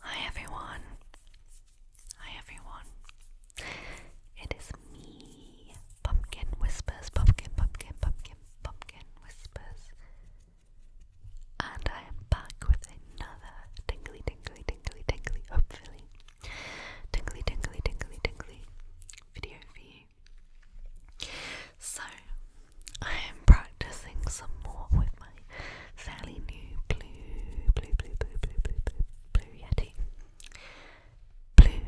Hi everyone. Hi everyone. It is me, Pumpkin Whispers, Pumpkin, Pumpkin, Pumpkin, Pumpkin Whispers. And I am back with another tingly, tingly, tingly, tingly, hopefully. Tingly, tingly, tingly, tingly video for you. So, I am proud practicing some more with my fairly new blue, blue, blue, blue, blue, blue, blue, blue Yeti. Blue,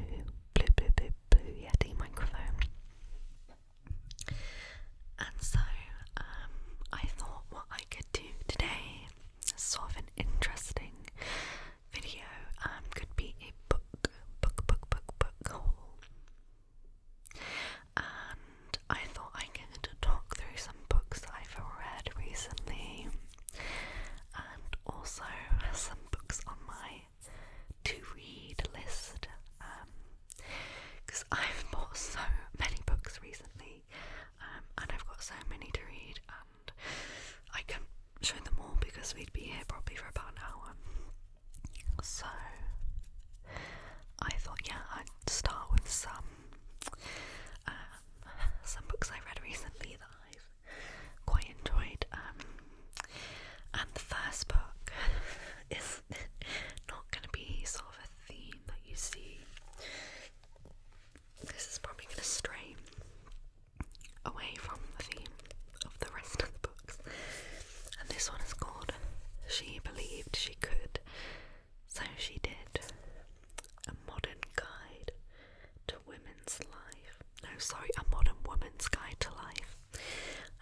blue, blue, blue, blue Yeti microphone. And so um, I thought what I could do today, sort of an interesting video, um, could be a book, book, book, book, book haul and I thought I am going to talk through some books I've read recently and also some books on my to read list because um, I've bought so many books recently um, and I've got so many to read and I can show them all because we'd be here probably for about an hour so I thought yeah I'd start with some uh, some books I read recently that I've quite enjoyed. Um, and the first book is not going to be sort of a theme that you see. This is probably going to stray away from the theme of the rest of the books. And this one is called She Believed She Could so she did a modern guide to women's life. No, sorry, a modern woman's guide to life.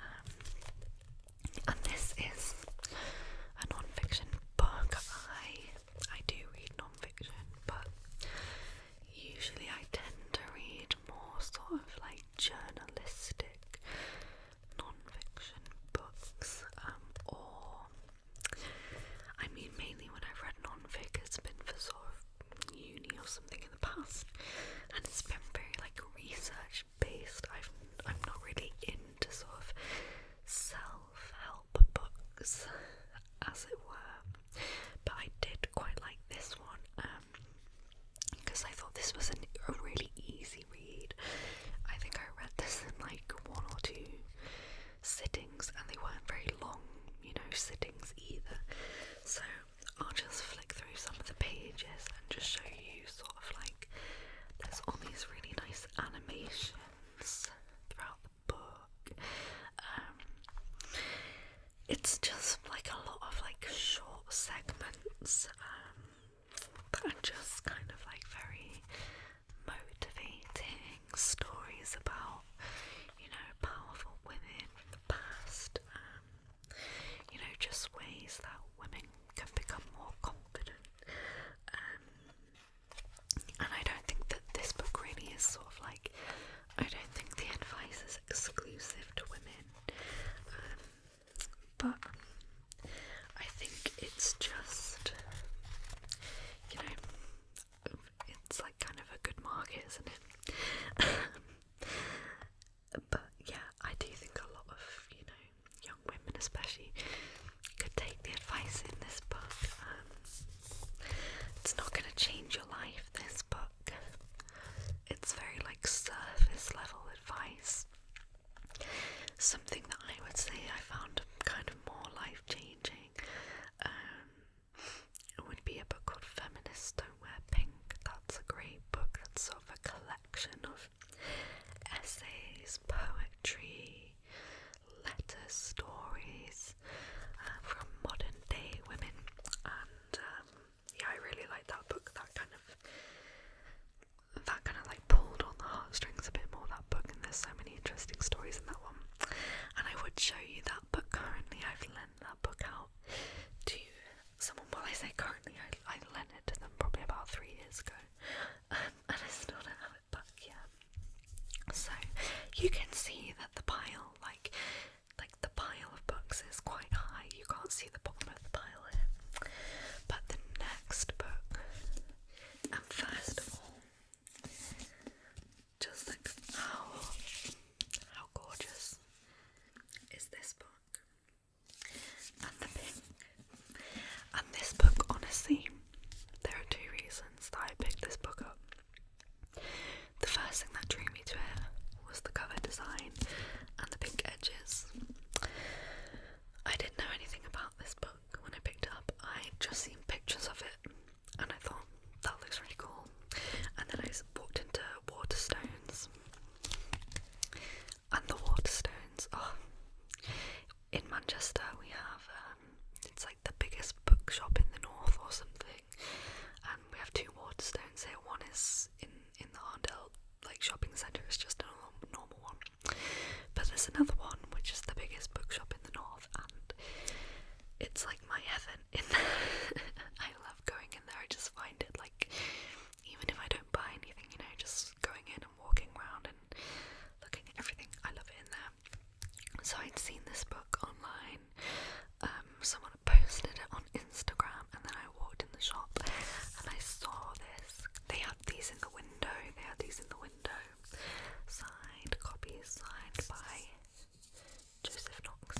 Um, and this is a non-fiction book. I I do read non-fiction, but usually I tend to read more sort of like journalistic non-fiction books, um, or I mean, mainly when I've read non-fic, it's been for sort of uni or something in the past, and it's been very like research-based. I've I'm not really into sort of self-help books, as it were, but I did quite like this one. because um, I thought this was a really easy read. I think I read this in like one or two sittings, and they weren't very long, you know, sittings either. So I'll just flick through some of the pages and just show you sort of like there's all these really nice animations throughout the book. Um, it's just like a lot of like short segments. Um, that are just kind of like very motivating stories about, you know, powerful women from the past, um, you know, just ways that women can become more confident. Um, and I don't think that this book really is sort of like, I don't think the advice is exclusive to women. Um, but I think it's just, you know, it's like kind of a good market, isn't it? but yeah, I do think a lot of, you know, young women especially could take the advice in this book. Um, it's not going to change your life, this book. It's very like surface level advice. Something that I would say I found kind of more life changing um, would be a book called Feminists Don't Wear Pink. That's a great book that's sort of a collection of essays, poetry, letters, stories uh, from modern day women. And um, yeah, I really like that book, that kind of that kind of like pulled on the heartstrings a bit more that book and there's so many interesting stories in that one and I would show you that but currently I've lent that book out to someone well I say currently I, I lent it to them probably about three years ago um, and I still don't have it back yet so you can see that the pile like like the pile of books is quite high you can't the bottom of the pile here. But the next book, and first of all, just like how how gorgeous is this book? And the pink. And this book, honestly, there are two reasons that I picked this book up. The first thing that drew me to it was the cover design and the pink edges. I didn't know anything about this book when I picked it up. I had just seen pictures of it and I thought that looks really cool. And then I walked into Waterstones. And the Waterstones, oh, in Manchester we have, um, it's like the biggest bookshop in the north or something. And we have two Waterstones here. One is in in the Arndale like shopping centre. It's just a normal one, but there's another one which is the biggest bookshop in the north, and it's like my heaven. In there, I love going in there. I just find it like, even if I don't buy anything, you know, just going in and walking around and looking at everything. I love it in there. So I'd seen this book online. Um, someone posted it on Instagram, and then I walked in the shop and I saw this. They these in the window. They had these in the window. Signed copies signed by Joseph Knox.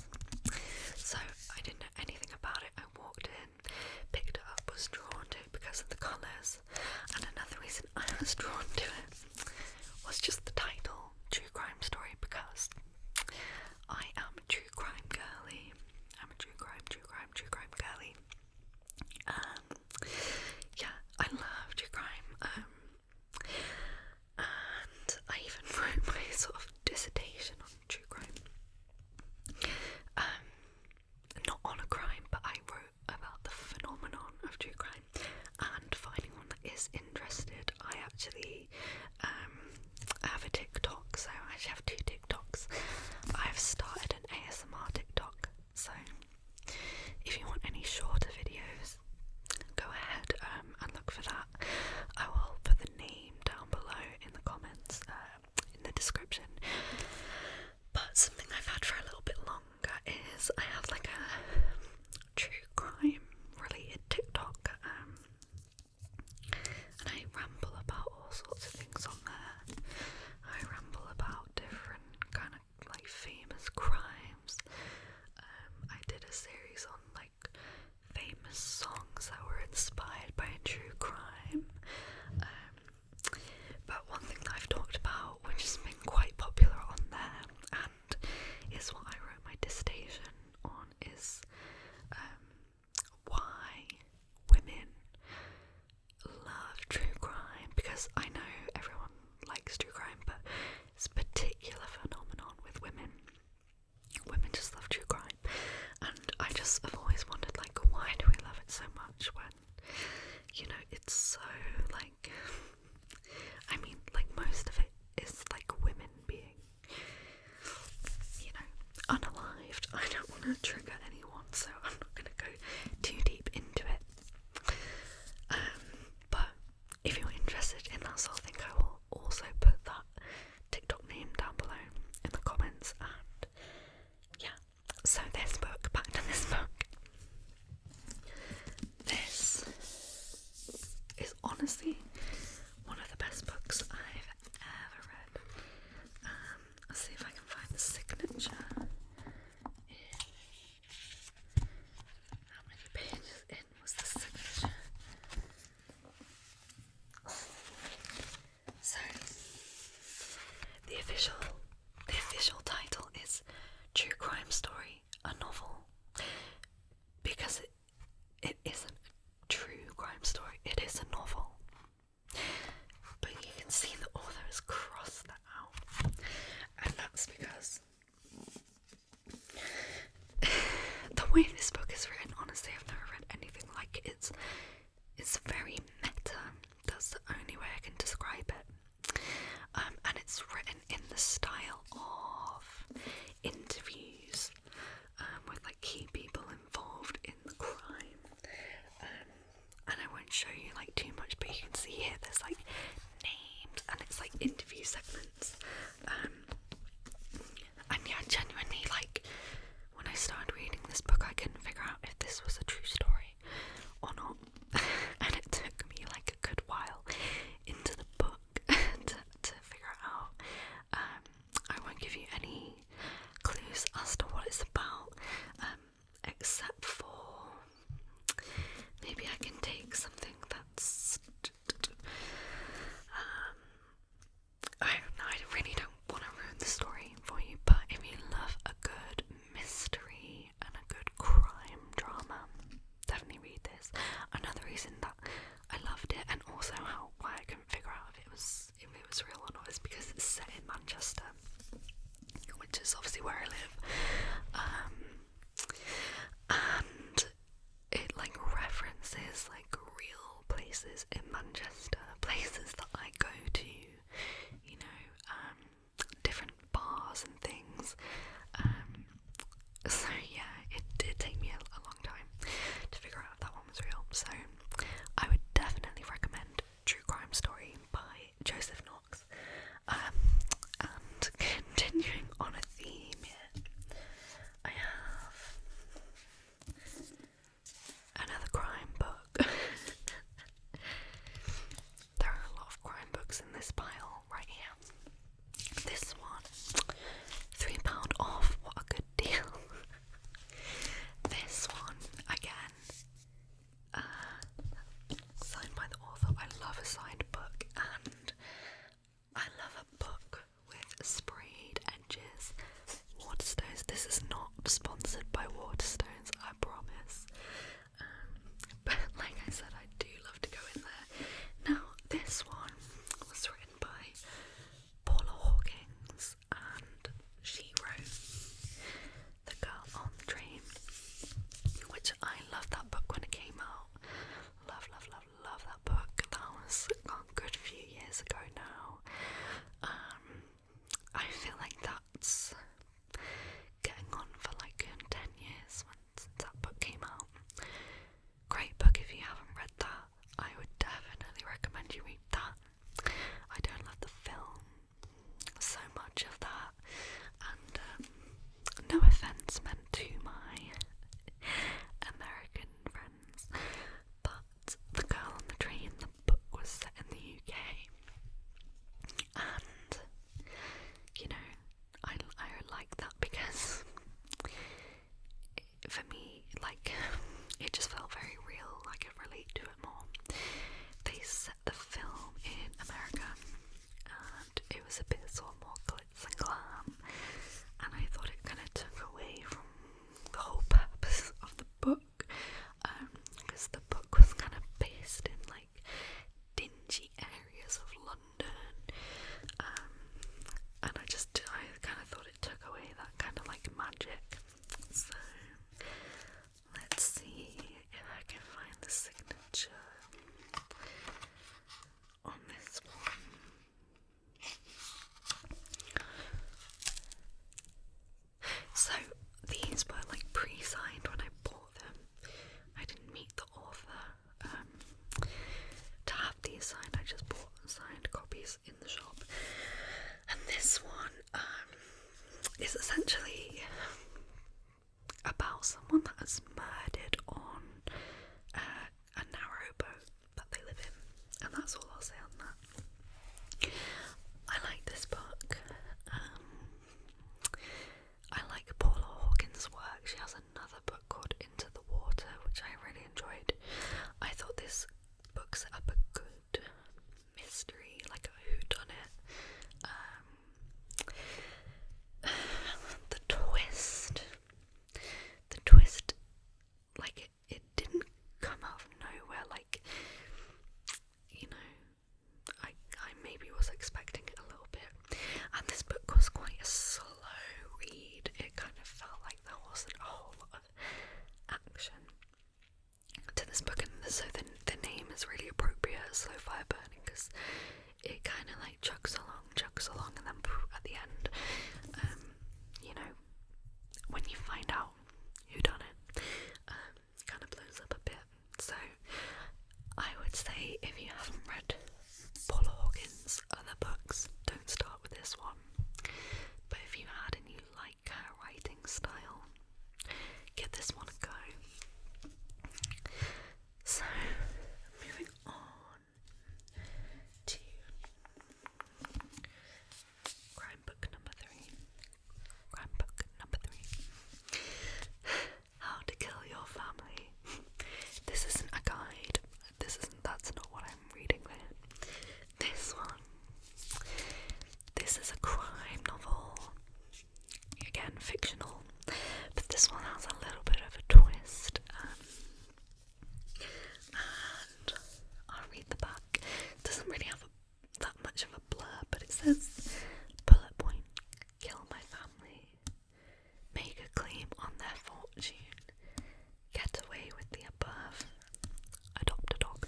So I didn't know anything about it. I walked in, picked it up, was drawn to it because of the colours. And another reason I was drawn to it was just the title, True Crime Story, because I am a true crime girly. I'm a true crime, true crime, true crime girly. Um, yeah, I love true crime. Um, and I even wrote my sort of dissertation on true crime. Um, not on a crime, but I wrote about the phenomenon of true crime. And finding one that is interested, I actually um, have a TikTok, so I actually have two TikToks. I've started started an ASMR TikTok, so if you want any shorter videos, go ahead um, and look for that. I will put the name down below in the comments, uh, in the description. But something I've had for a little bit longer is I have like a true crime related TikTok. Um, and I ramble about all sorts of things on there. I ramble about different kind of like famous crimes. Um, I did a series on like famous songs that were inspired by true crime. Um, but one thing that I've talked about, which has been quite popular on there, and is what I wrote my dissertation on, is um, why women love true crime because I know everyone likes true crime, but it's a particular phenomenon with women. Women just love true crime, and I just have always wondered, like, why do we love it so much when you know it's so like I mean, like, most of it is like women being you know unalived. I don't want to trigger any so I'm not going to go too deep into it. Um, but if you're interested in that sort of I will also put that TikTok name down below in the comments. And yeah, so this book, back to this book. This is honestly one of the best books I've ever read. Um, I'll see if I can find the signature how many pages in was the signature? So the official the official title is True Crime Story, a novel. Because it it isn't a true crime story, it is a novel. But you can see that author has crossed that out, and that's because the way this book is written, honestly, I've never read anything like it. It's, it's very meta, that's the only way I can describe it. Um, and it's written in the style of interviews um, with Keep people involved in the crime. Um, and I won't show you like too much, but you can see here there's like names and it's like interview segments. Um, and yeah, genuinely, like when I started reading this book, I couldn't figure out if this was a true story or not, and it took me like a good while into the book to, figure out. Um, I won't give you any clues as to what it's about, um, except for maybe I can take something that's. Um, I don't really don't want to ruin the story for you, but if you love a good mystery and a good crime drama, definitely read this. Another reason that I loved it, and also how why I couldn't figure out if it was if it was real or not is because it's set in Manchester, which is obviously where I live. Um, and it like references like real places in Manchester, places that I go to, you know, um, different bars and things. Um, so yeah, it did take me a long time to figure out that one was real. So I would definitely recommend True Crime Story by Joseph Knox. Um, and continuing on a theme I have another crime book. there are a lot of crime books in this pile right here. This one, £3 off, what a good deal. This one, again, uh, signed by the author. I love a signed book, and I love a book with sprayed edges. Waterstones. This is not sponsored by Waterstones, I promise. Um, but like I said, I do love to go in there. Now, this one was written by Paula Hawkins, and she wrote The Girl on the Train, which I loved that book when it came out. Love, love, love, love that book. That was a good few years ago now. Um, I feel like that's getting on for like 10 years since that book came out. Great book if you haven't read that. I would definitely recommend you read that. I don't love the film so much of that, and um, no offense meant to my American friends, but The Girl on the Train, the book was set in the UK, and you know, I, I like that because for me, like it just felt very real, I I relate to it more. They set the film in America and it was a bit sort of more glitz and glam, and I thought it kind of took away from the whole purpose of the book because um, the book was kind of based in like dingy areas of London. Um, and I just, I kind of thought it took away that kind of like magic so let's see if I can find the signature on this one. So these were like pre-signed when I bought them. I didn't meet the author um, to have these signed. I just bought signed copies the shop. And this one um, is essentially about someone that is murdered on uh, a narrow boat that they live in. And that's all I'll say on that. I like this book. Um, I like Paula Hawkins' work. She has another book called Into the Water, which I really enjoyed. I thought this books up a good mystery, like a whodunit. Um, the twist. The twist, like, it, it didn't come out of nowhere, like, you know, I, I maybe was expecting it a little bit. And this book was quite a slow read, it kind of felt like there wasn't a whole lot action to this book, and so the, the name is really appropriate, Slow Fire Burning, because it kind of like chugs along, chugs along, and then poof at the end, um, you know, when you find out who done it, um, kind of blows up a bit. So I would say if you haven't read Paula Hawkins' other books, don't start with this one. But if you had and you like like her writing style. Give this one a go. So, moving on to crime book number three. Crime book number three. How to kill your family. This isn't a guide. This isn't. That's not what reading This one. This is a crime novel. Again, fictional. But this one has a little bit of a twist. Um, and I'll read the back. It doesn't really have that much of a blur, but it says bullet point kill my family, make a claim on their fortune, Get away with the above. Adopt a dog.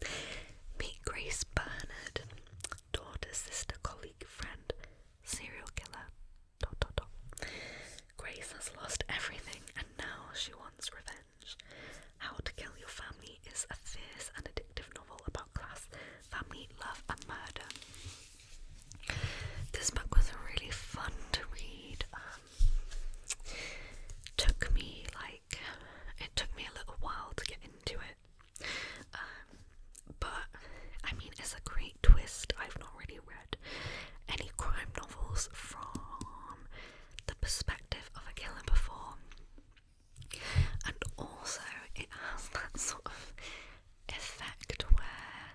Meet Grace Bernard, daughter, sister, colleague, friend, serial killer. Dot, dot, dot. Grace has lost everything and now she wants revenge. How to Kill Your Family is a fierce and addictive novel about class, family, love, and murder. This book was really fun to read. Um, Took me like it took me a little while to get into it, um, but I mean it's a great twist. I've not really read any crime novels from the perspective of a killer before, and also it has that sort of effect where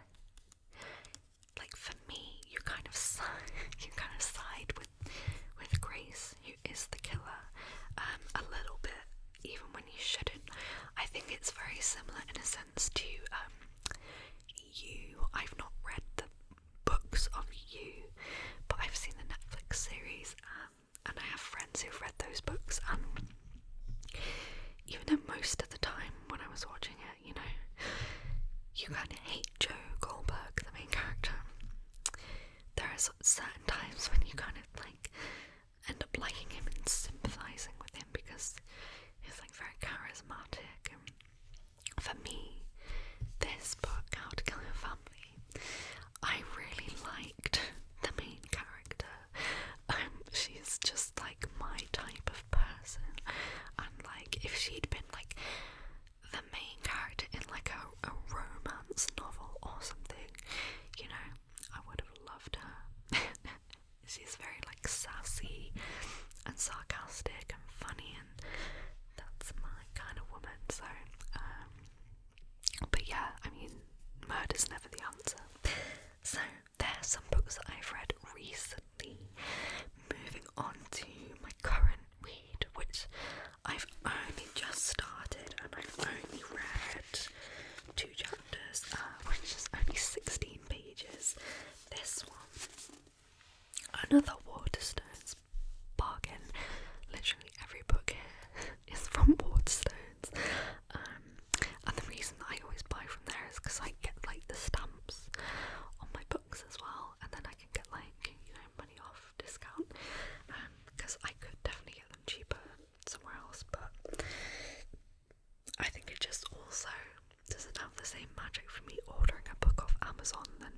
like for me, you kind of you kind of side with with Grace, who is the killer, um, a little bit, even when you shouldn't. I think it's very similar in a sense to um, you. I've not read the books of you, but I've seen the Netflix series, um, and I have friends who've read those books and. Even though most of the time when I was watching it, you know. You can hate Joe Goldberg, the main character. There are certain times when you kind of like end up liking him and sympathizing with him because he's like very charismatic. And for me, this book, How to Kill Your Family, I really liked the main character. Um, she's just like my type of person and like if she'd been like the main character in like a, a romance novel or something, you know, I would have loved her. She's very like sassy and sarcastic and funny and that's my kind of woman, so um but yeah, I mean murder's never the answer. So there's some books that I've read recently Moving on to my current read, which I've only just started and I've only read two chapters, uh, which is only 16 pages. This one, another Waterstones bargain. Literally every book here is from Waterstones. Um, and the reason that I always buy from there is because I get like the stamps on my book as well, and then I can get like you know money off discount because um, I could definitely get them cheaper somewhere else, but I think it just also doesn't have the same magic for me ordering a book off Amazon than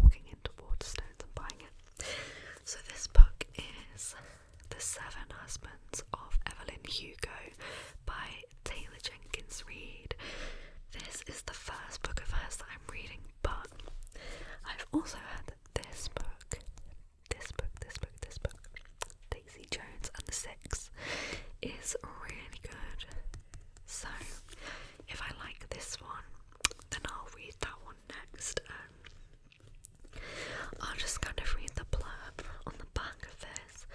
walking into Waterstones and buying it. So this book is The Seven Husbands of Evelyn Hugo by Taylor Jenkins Reid. This is the first book of hers that I'm reading, but I've also had this book, this book, this book, this book, Daisy Jones and the Six, is really good. So if I like this one, then I'll read that one next. Um, I'll just kind of read the blurb on the back of this.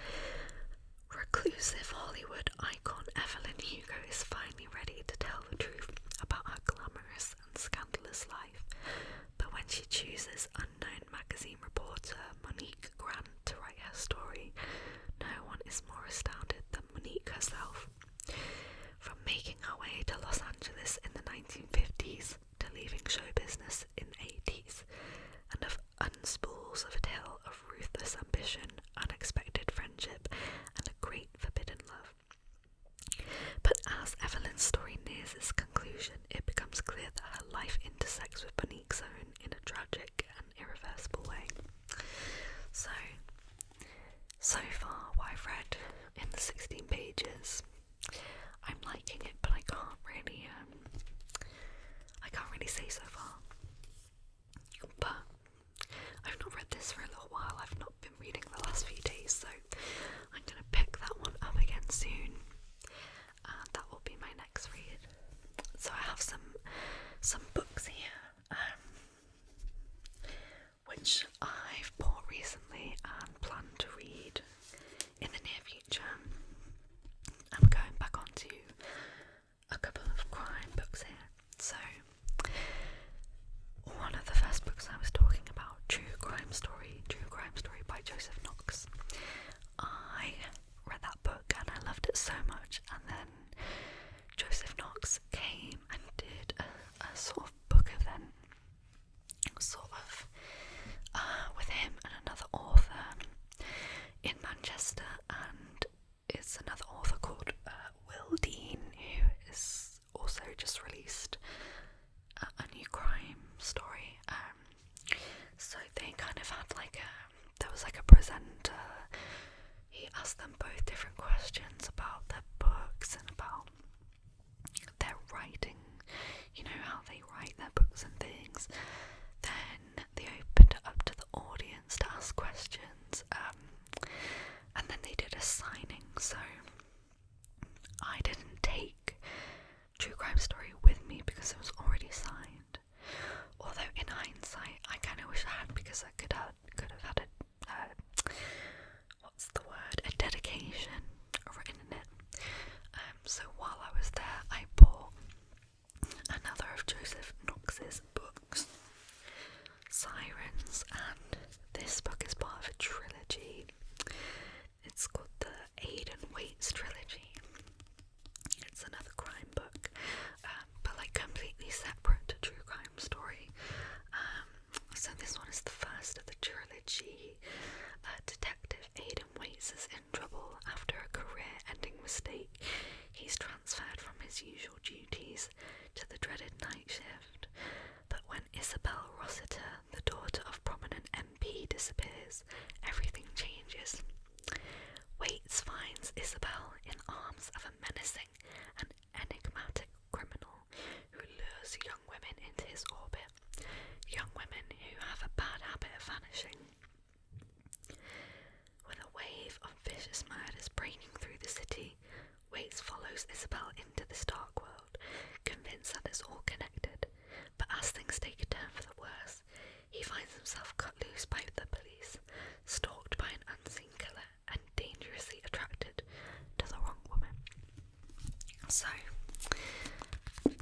Reclusive Hollywood icon Evelyn Hugo is finally ready to tell the truth about her glamorous and scandalous life, but when she chooses unknown magazine reporter Monique Grant to write her story, no one is more astounded than Monique herself. From making her way to Los Angeles in the 1950s to leaving show business in the 80s, and of unspools of a tale of ruthless ambition, unexpected friendship, and a great forbidden love. But as Evelyn's story nears its conclusion, it becomes clear that her life intersects with Bonique's own in a tragic and irreversible way. So, so far, what I've read in the 16 pages, I'm liking it, but I can't really um, I can't really say so far. But I've not read this for a little while, I've not been reading the last few days, so I'm gonna pick that one up again soon. And that will be my next read. So I have some some books here, um, which I've bought recently and plan to read in the near future. I'm going back onto a couple of crime books here. So, one of the first books I was talking about, True Crime Story, True Crime Story by Joseph Knox. I read that book and I loved it so much, and then Joseph Knox came and did a, sort of book of them, sort of, uh, with him and another author in Manchester, and it's another author called uh, Will Dean who is also just released a, new crime story. Um, so they kind of had like a there was like a presenter. He asked them both different questions about their books and about their writing, you know, how they write their books and things. Then they opened it up to the audience to ask questions, um, and then they did a signing. So I didn't take True Crime Story with me because it was already signed. Although in hindsight, I kind of wish I had because I could have could have had a what's the word a dedication written in it. Um, so while I was there, I bought another of Joseph Knox's books, Sirens, and this book is part of a trilogy. It's called the Aidan Waits trilogy. It's another crime book, um, but like completely separate true crime story. Um, so this one is the first of the trilogy. Uh, Detective Aidan Waits' trouble after a career ending mistake, he's transferred from his usual duties to the dreaded night shift. But when Isabel Rossiter, the daughter of prominent MP, disappears, everything changes. Waits finds Isabel in arms of a menacing and enigmatic criminal who lures young women into his orbit, young women who have a bad habit of vanishing. When a wave of vicious mud is through the city, Waits follows Isabel into this dark world, convinced that it's all connected. But as things take a turn for the worse, he finds himself cut loose by the police, stalked by an unseen killer, and dangerously attracted to the wrong woman. So,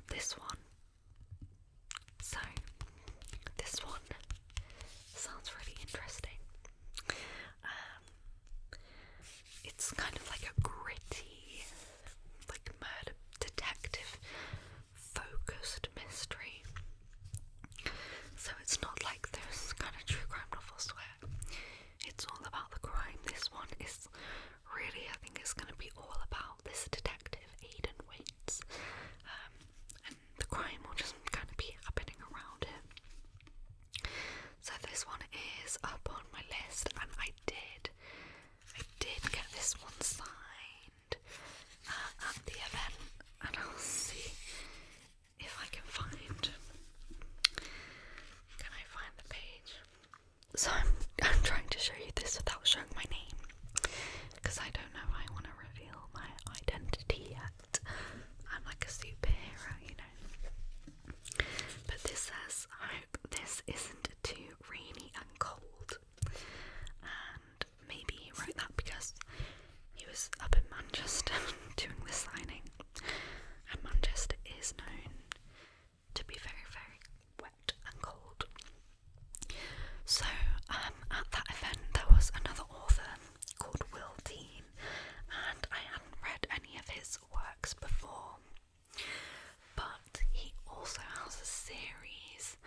this one so, this one sounds really interesting. Um, it's kind of like a gritty, like murder detective focused mystery. So, it's not like those kind of true crime novels where it's all about the crime. This one is really, I think, it's going to be all about this detective, Aiden Waits, um, and the crime will just kind of be happening around him. So this one is up on my list, and I did, I did get this one signed uh, at the event, and I'll see if I can find. Can I find the page? So I'm I'm trying to show you this without showing my name because I don't know I want to reveal my identity yet. I'm like a superhero, you know. But this says, I hope this isn't too rainy and cold. And maybe he wrote that because he was up in Manchester doing the signing. And Manchester is known to be very, very and cold. So, um, at that event, there was another author called Will Dean, and I hadn't read any of his works before. But he also has a series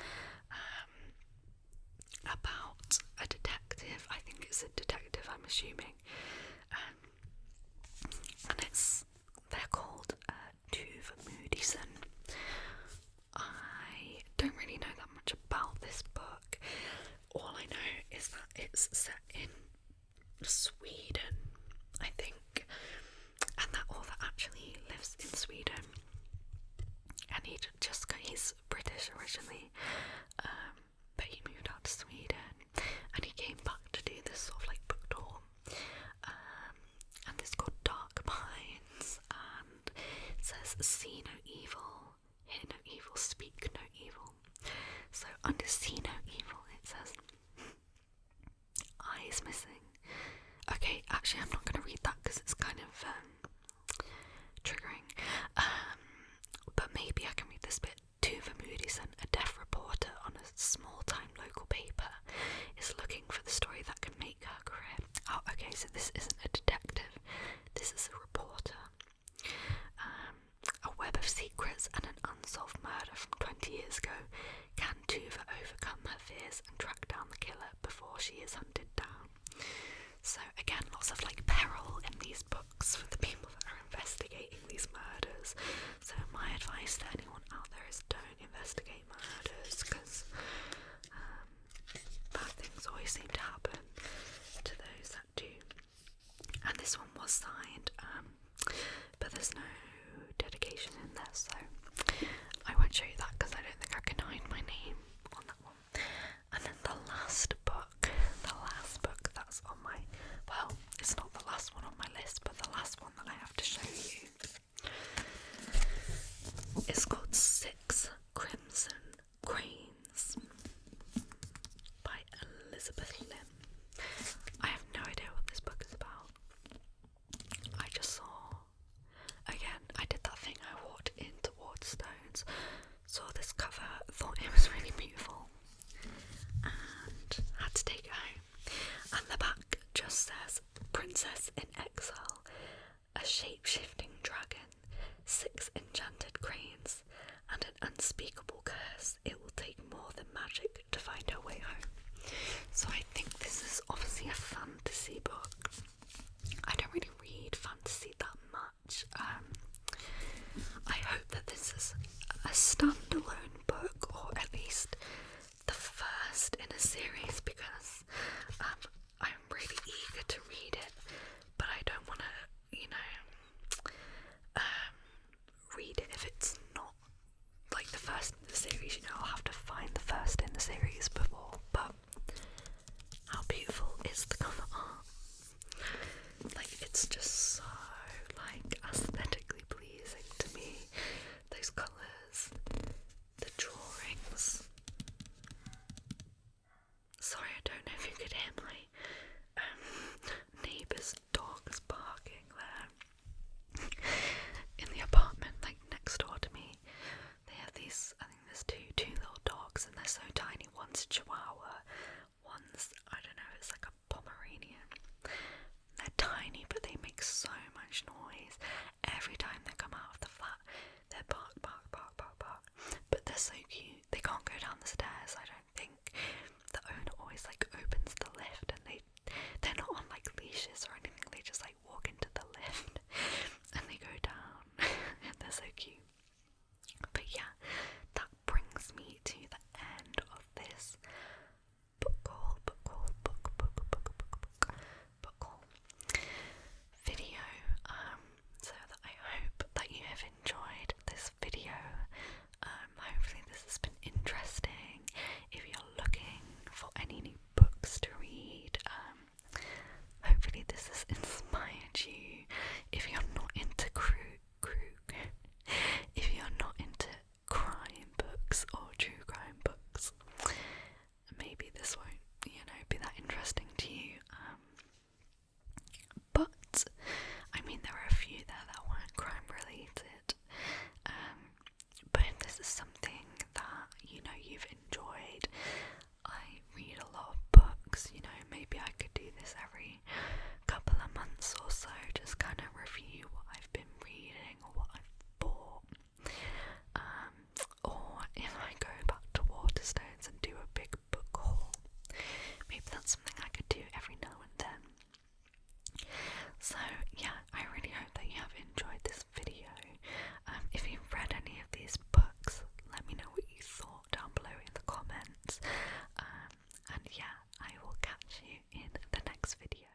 um, about a detective. I think it's a detective, I'm assuming. Um, and it's they're called uh, Tuve Moodyson. I don't really know that much about this book. All I know is that it's set in Sweden, I think, and that author actually lives in Sweden. And he just got, he's British originally, um, but he moved out to Sweden and he came back to do this sort of like book tour um, and it's called Dark Minds, and it says see no evil, hear no evil, speak no evil. So under see no evil, it says eye is missing. Okay, actually, I'm not going to read that because it's kind of um, triggering. Um, but maybe I can read this bit. To Vermudison, a deaf reporter on a small-time local paper, is looking for the story that can make." Oh, okay, so this isn't a detective, this is a reporter. Um, a web of secrets and an unsolved murder from 20 years ago. Can Tuva overcome her fears and track down the killer before she is hunted down? So, again, lots of like peril in these books for the people that are investigating these murders. So, my advice to anyone out there is don't investigate investigate because um, bad things always seem to happen to those that do. And this one was signed, um, but there's no dedication in there, so I won't show you that because I don't think I can hide my name on that one. And then the last book, the last book that's on my well, it's not the last one on my list, but the last one that I have to show you it's called Six Crimson Queens by Elizabeth Lim. I have no idea what this book is about. I just saw again, I did that thing I walked into Waterstones, saw this cover, thought it was really beautiful, and had to take it home. And the back just says Princess in Exile, a shape shifting dragon, six enchanted cranes, and an unspeakable curse. It will take more than magic to find her way home. So I think this is obviously a fantasy book. I don't really read fantasy that much. Um, I hope that this is a standalone book, or at least the first in a series because um, I'm really eager to read it, but I don't want to, you know, um, read it if it's not like the first in the series. You know, I'll have to find the first in the series before. But how beautiful is the cover art? Like, it's just so like aesthetically pleasing to me. Those colours, the drawings. Sorry, I don't know if you could hear my um, neighbor's dogs barking there. In the apartment, like next door to me, they have these. I think there's two two little dogs, and they're so tiny. One's Chihuahua, one's I don't know. It's like a Pomeranian. They're tiny, but they make so much noise, Every time they come out of the flat, they're bark, bark, bark, bark, bark. But they're so cute. They can't go down the stairs, I don't think. The owner always like opens the lift and they they're not on like leashes or anything, they just like walk into the lift and they go down. they're so cute. But yeah, that brings me to the end of this book haul, book haul, book, book, book, book, book, book video. Um, so that I hope that you have enjoyed this video. Um, hopefully this has been interesting. If you're looking for any new books to read, um, hopefully this has inspired you. If you're not into crew, crew, if you're not into crime books or true crime books. Maybe this won't, you know, be that interesting to you. Um, but I mean, there were a few there that weren't crime related. Um, but if this is something that you know you've enjoyed, I read a lot of books. You know, maybe I could do this every couple of months or so, just kind of review what I've been reading or what I've bought. Um, or if I go back to Waterstones and do a big book haul, maybe that's something I could do every now and then. So, yeah, I really hope that you have enjoyed this video. Um, if you've read any of these books, let me know what you thought down below in the comments. Um, and yeah, I will catch you in the next video.